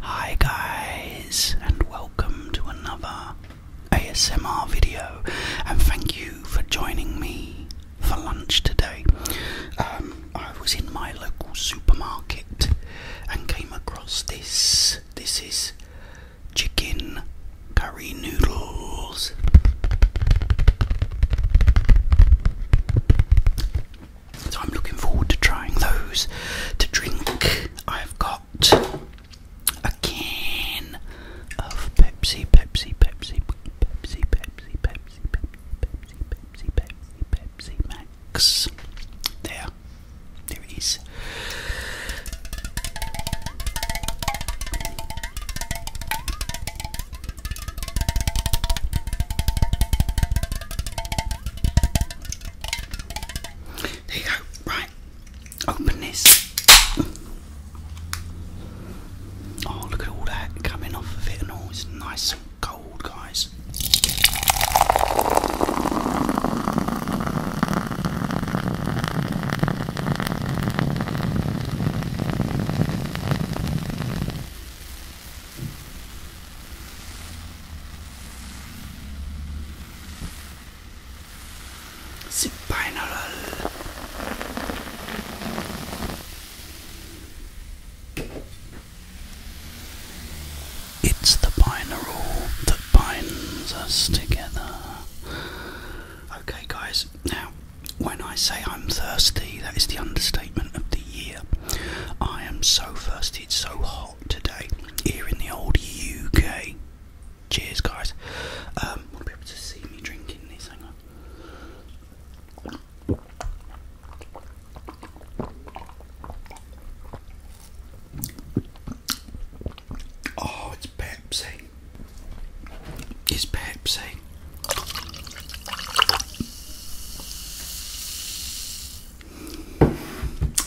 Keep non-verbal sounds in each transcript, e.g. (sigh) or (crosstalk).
Hi guys and welcome to another ASMR video and thank you for joining me for lunch today. Um, I was in my local supermarket and came across this. This is chicken curry noodles. So I'm looking forward to trying those. To drink, I've got a can of Pepsi, Pepsi, Pepsi. Pepsi, Pepsi, Pepsi, Pepsi, Pepsi, Pepsi, Pepsi, Pepsi Max. There, there There you go. Right, open this. Oh, look at all that coming off of it and all. It's nice and cold, guys. The final it's the binary that binds us together. Okay, guys, now when I say I'm thirsty, that is the understatement of the year. I am so thirsty, it's so hot today here in the old UK. Cheers, guys. will be able to see me drinking this. Hang Oh, it's Pepsi. It's Pepsi.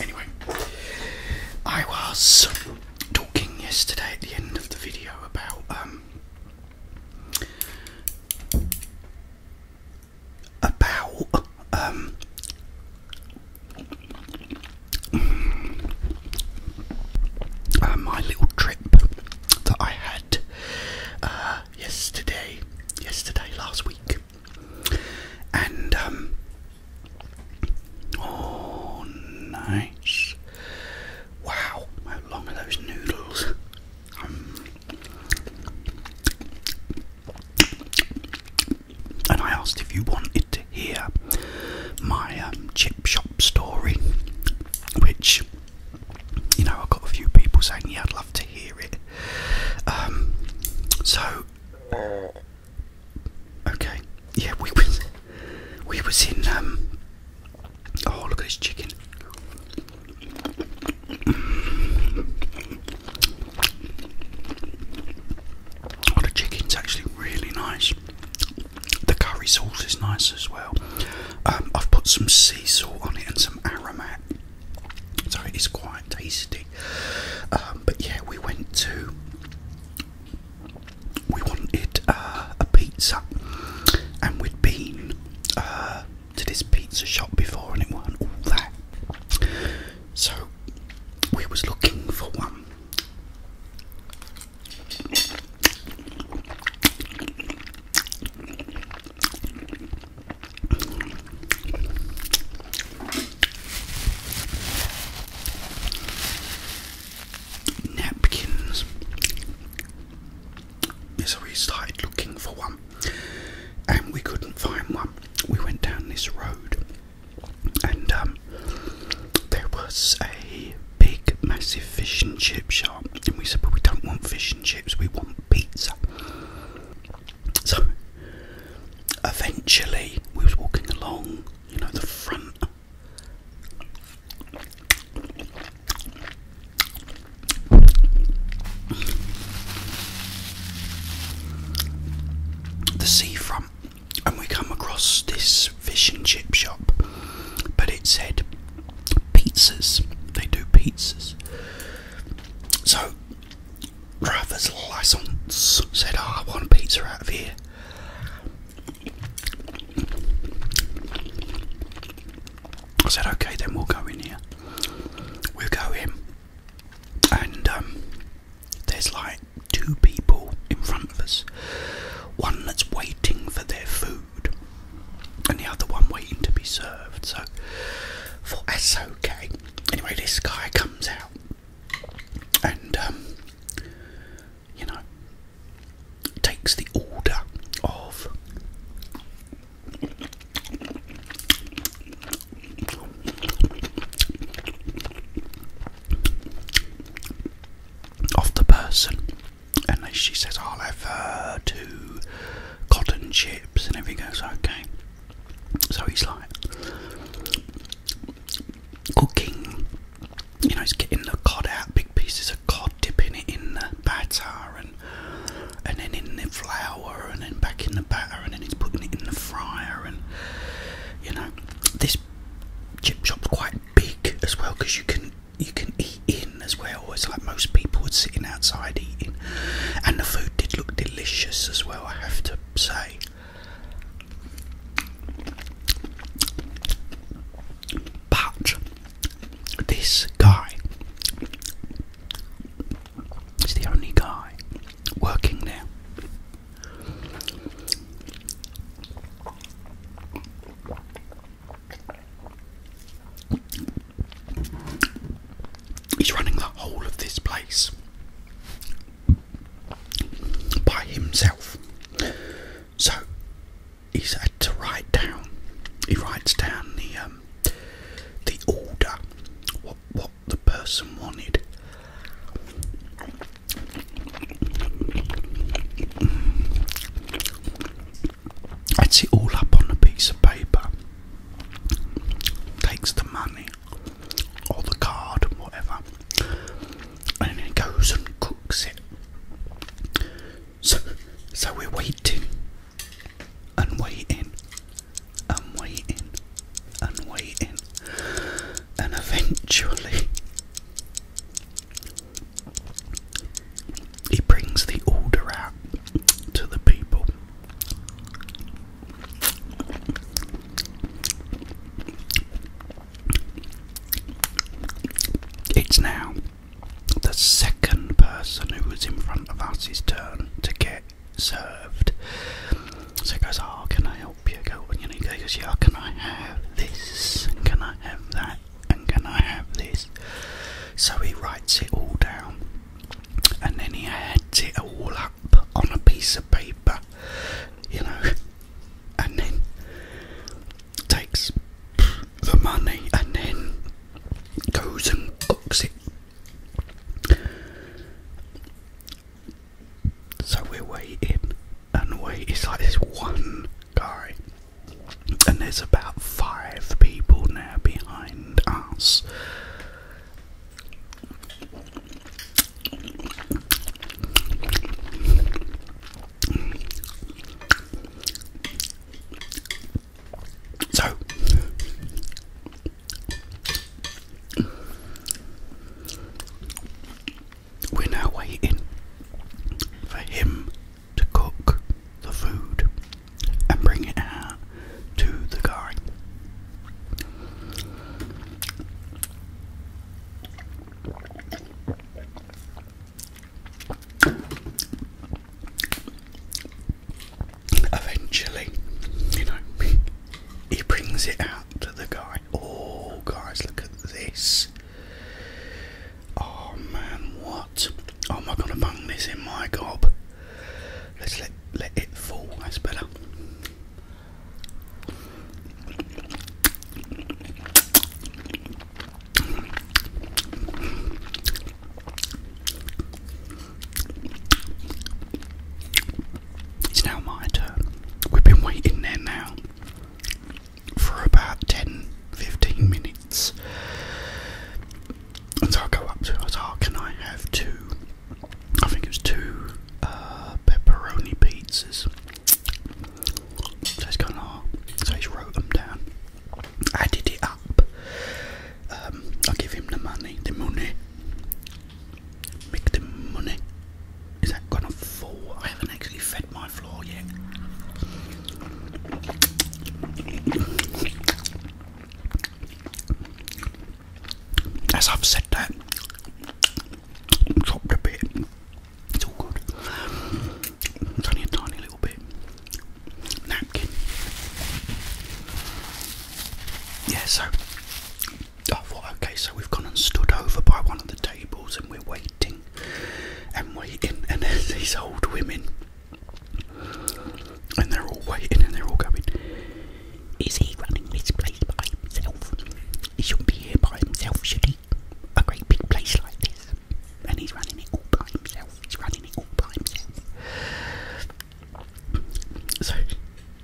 Anyway, I was talking yesterday at the end of the video about um about um uh, my little trip that I had uh, yesterday, yesterday last week, and um, oh nice. Wow, how long are those noodles? Um, and I asked if you wanted to hear my um, chip shop story, which, you know, I got a few people saying, yeah, I'd love to hear it. Um, so, okay, yeah, we was we were in um oh look at this chicken oh the chicken's actually really nice the curry sauce is nice as well um, I've put some sea salt on it and some aromat so it is quite tasty um, but yeah we went to we wanted uh, a pizza, and we'd been uh, to this pizza shop before, and it were all that. So we was looking for one napkins. So we started looking for one and we couldn't find one. We went down this road and um, there was a big, massive fish and chip shop. And we said, "But we don't want fish and chips, we want pizza. So eventually we was walking along, you know, the front the seafront, and we come across this fish and chip shop, but it said pizzas. They do pizzas. So driver's license said, oh, I want a pizza out of here. I said, okay, then we'll go in here. We'll go in, and um, there's like two people in front of us one that's waiting for their food, and the other one waiting to be served. So, for that's okay. Anyway, this guy comes out, and um, you know, takes the order of of the person, and she says, "I'll have uh, two cotton chips," and everything goes okay. So he's like, cooking. You know, it's getting the cod out, big pieces of cod, dipping it in the batter, and and then in the flour, and then back in the batter, and then it's putting it in the fryer, and you know, this chip shop's quite big as well because you can you can eat in as well. It's like most people would sitting outside eating, and the food did look delicious as well. I have to say, but this guy is the only guy working there. He's running the whole of this place by himself so he's had to write down. He writes down the um, the order, what what the person wanted. Adds it all up on a piece of paper. Takes the money or the card, whatever, and he goes and cooks it. So, we're waiting and waiting and waiting and waiting, and eventually he brings the order out to the people. It's now the second person who was in front of us. us's turn to get served. So he goes, Oh, can I help you? Go you and he goes, Yeah, can I have this? And can I have that? And can I have this? So he writes it all down and then he adds it all up on a piece of paper. You know, and then takes the money and then goes and books it. So we're waiting and wait. It's like this one guy, and there's about five people now behind us. So we're waiting for him to cook the food and bring it out to the guy. Eventually, you know, he brings it out to the guy. Oh, guys, look at this. Oh man, what? Oh, am I gonna bang this in my gob? Let's let let it fall. That's better. It's now my turn. We've been waiting there now for about 10 15 minutes. And so I go up to her, I was can I have two? I think it was two uh, pepperoni pizzas. So it's gone hard. So he's wrote them down. Added it up. Um, i give him the money. The money. Make the money. Is that gonna fall? I haven't actually fed my floor yet. As I've said that, dropped a bit. It's all good. It's only a tiny little bit. Napkin. Yeah, so I oh, thought, okay, so we've gone and stood over by one of the tables and we're waiting and waiting, and there's (laughs) these old women, and they're all waiting and they're all going, Is he running this place by himself? He shouldn't be here by himself, should he? A great big place like this. And he's running it all by himself. He's running it all by himself. So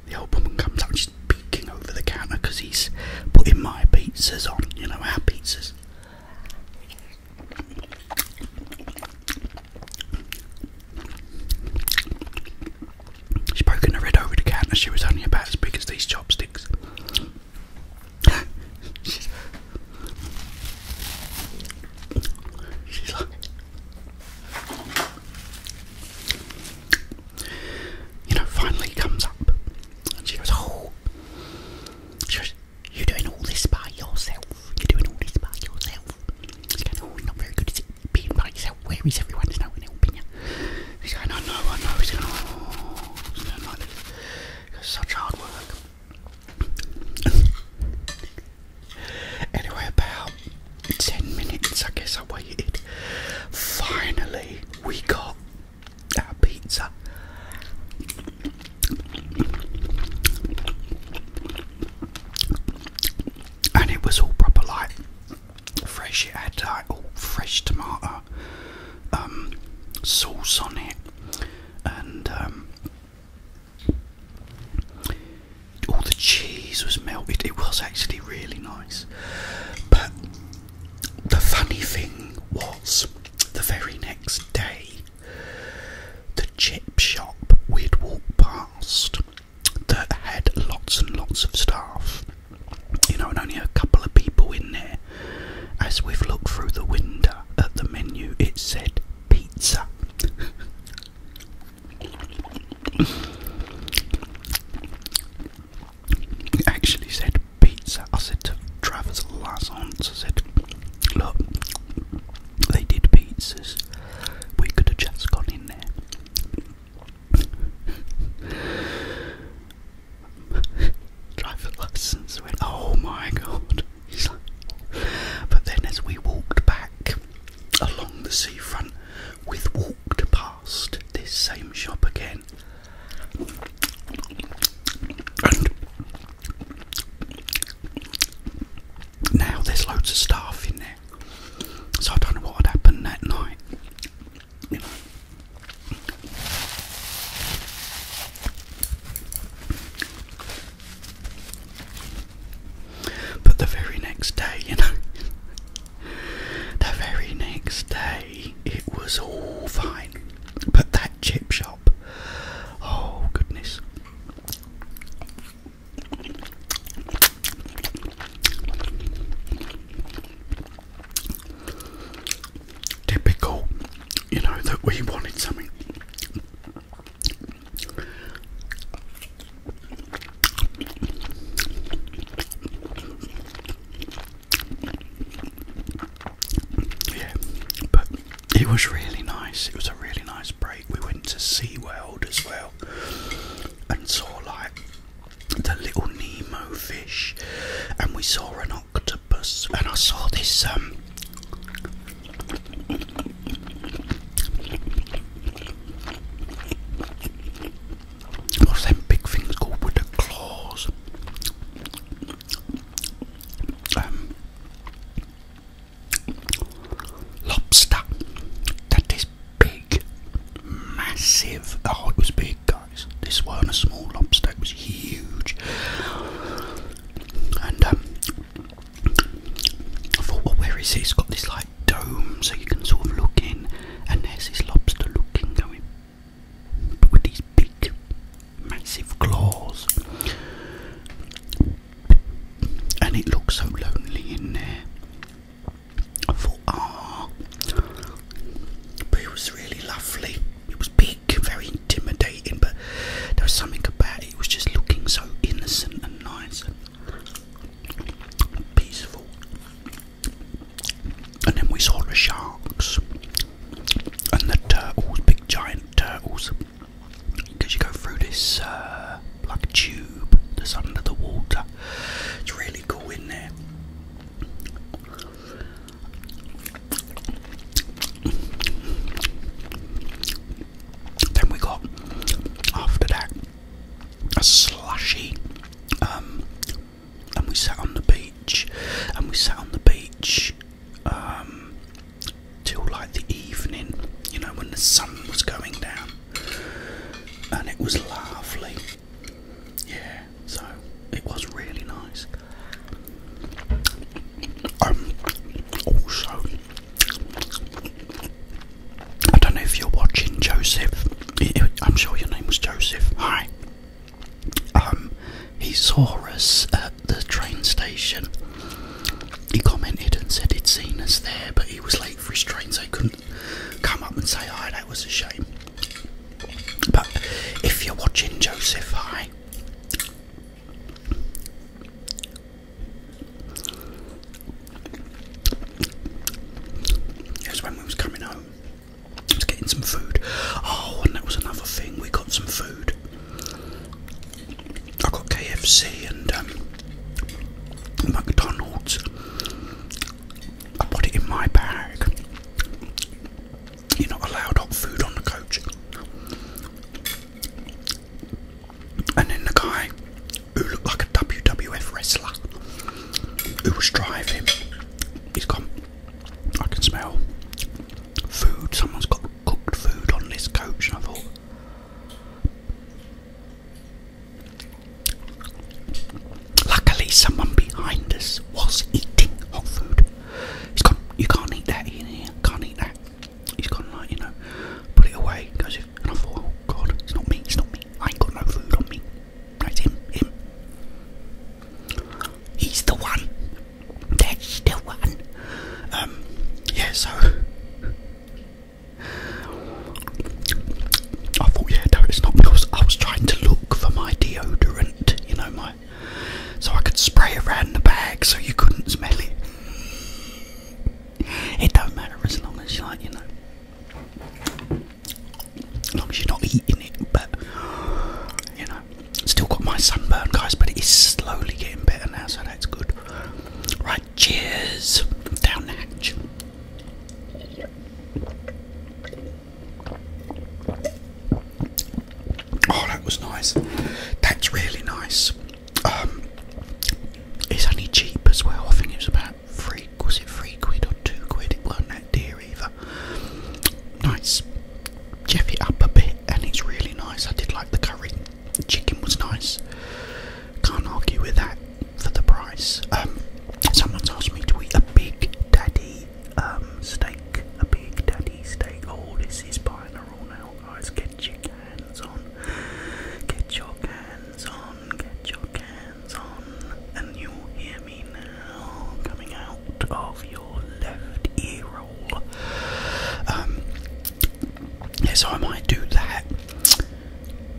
the old woman comes up, she's peeking over the counter because he's putting my pizzas on, you know, our pizzas. She broke her head over the counter, she was only about as big as these chopsticks. she's, like, you know, finally comes up and she goes, Oh, You're doing all this by yourself. You're doing all this by yourself. Oh, not very good at it being by yourself. Where is everyone? There's no one helping you. He's going, I know, I know. He's going, oh, he's going like this. It's such hard work. anyway, about 10 minutes, I guess I waited. Finally, we got our pizza. And it was all proper like fresh. It had like all oh, fresh tomato um, sauce on it, and um, all the cheese was melted. It was actually really nice. But the funny thing was, the very next day, the chip shop we'd walked past that had lots and lots of staff, you know, and only a couple of people in there. As we've looked through the window at the menu, it said pizza. it actually said pizza. I said to Travis Lazance, I said, Look, they did pizzas. We could have just gone in there driver lessons went, oh my god. but then as we walked back along the seafront, we walked past this same shop again. And now there's loads of staff in there. So I don't know what had happened that night. But the very next day, you know, the very next day it was all fine. But that chip shop, oh goodness. Typical, you know, that we wanted something. Yeah, but it was really nice. It was a really nice break. We went to Sea World as well and saw like the little Nemo fish, and we saw an octopus, and I saw this um. What's them big things called with the claws? Um, lobster. That is big, massive. The it was big, guys. This wasn't a small lobster, it was huge. And um, I thought, well, where is it? has got this like dome, so you can sort of look in, and there's this lobster looking going, with these big, massive claws. And it looks so lonely in there thought, ah, but it was really lovely. It was big, very intimidating, but there was something about it. It was just looking so innocent and nice and peaceful. And then we saw the sharks and the turtles, big giant turtles. Because you go through this uh, like tube tube that's under the water. It's really cool in there. Then we got after that a slushy, um, and we sat on the beach, and we sat on the beach um, till like the evening, you know, when the sun was going down and it was lovely. Yeah, so it was really nice. Um, also, I don't know if you're watching Joseph. I'm sure your name was Joseph. Hi. Um, he saw us at the train station. He commented and said he'd seen us there, but he was late for his train, so he couldn't come up and say hi, that was a shame. But if you're watching Joseph, hi. That's when we was coming home. was getting some food. Oh, and that was another thing. We got some food. I got KFC and um, McDonald's. I put it in my bag. You're not allowed hot food on the coach. And then the guy who looked like a WWF wrestler who was driving, he's gone. I can smell food. Someone's got cooked food on this coach. And I thought, Luckily, someone behind us was eating hot food. He's gone, you can't eat that in here, can't eat that. He's gone, like, you know, put it away. Goes, and I thought, oh god, it's not me, it's not me. I ain't got no food on me. That's him. He's the one. That's the one. Um, yeah, so I thought, yeah, no, it's not because I was trying to look for my deodorant, you know, my so I could spray around the bag so you couldn't smell it. It don't matter as long as you like, you know, as long as you're not eating it. But you know, still got my sunburn, guys, but it is slowly getting better now, so that's good. Right, cheers down hatch. Oh, that was nice. That's really nice. Um, it's only cheap as well. I think it was about three. Was it three quid or two quid? It wasn't that dear either. Nice. Jeff up a bit, and it's really nice. I did like the curry. The chicken was nice. Can't argue with that for the price. Um, someone's asked me to eat a Big Daddy um, steak. A Big Daddy steak. All oh, this is by the rule now, guys. Get your cans on. Get your cans on. Get your cans on. And you'll hear me now coming out of your left ear roll. Um, so I might do that.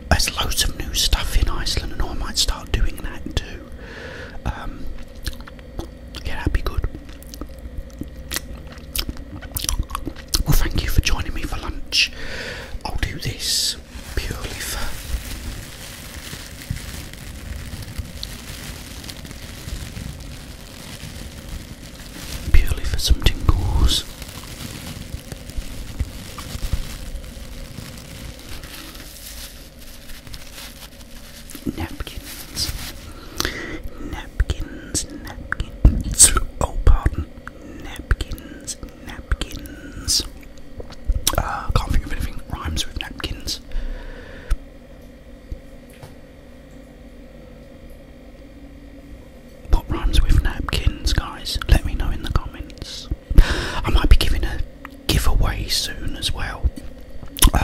There's loads of new stuff in Iceland, and I might start doing that too. Um, yeah, that'd be good. Well, thank you for joining me for lunch. I'll do this purely for. Purely for some tingles. Napkins. Napkins, napkins. Oh, pardon. Napkins, napkins. Uh, can't think of anything that rhymes with napkins. What rhymes with napkins, guys? Let me know in the comments. I might be giving a giveaway soon as well.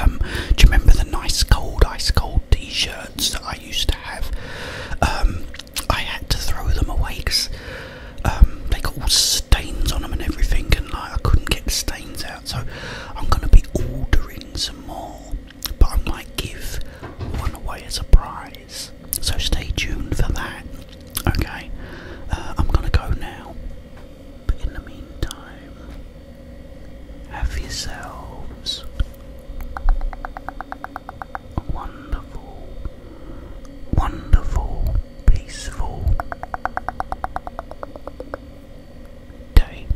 Um, do you remember the nice cold, ice cold t-shirts that I used to have? Um, I had to throw them away because um, they got all stains on them and everything, and I couldn't get the stains out. So I'm gonna be ordering some more, but I might give one away as a prize. So stay tuned for that. Okay, uh, I'm gonna go now. But in the meantime, have yourselves a wonderful, wonderful, peaceful day.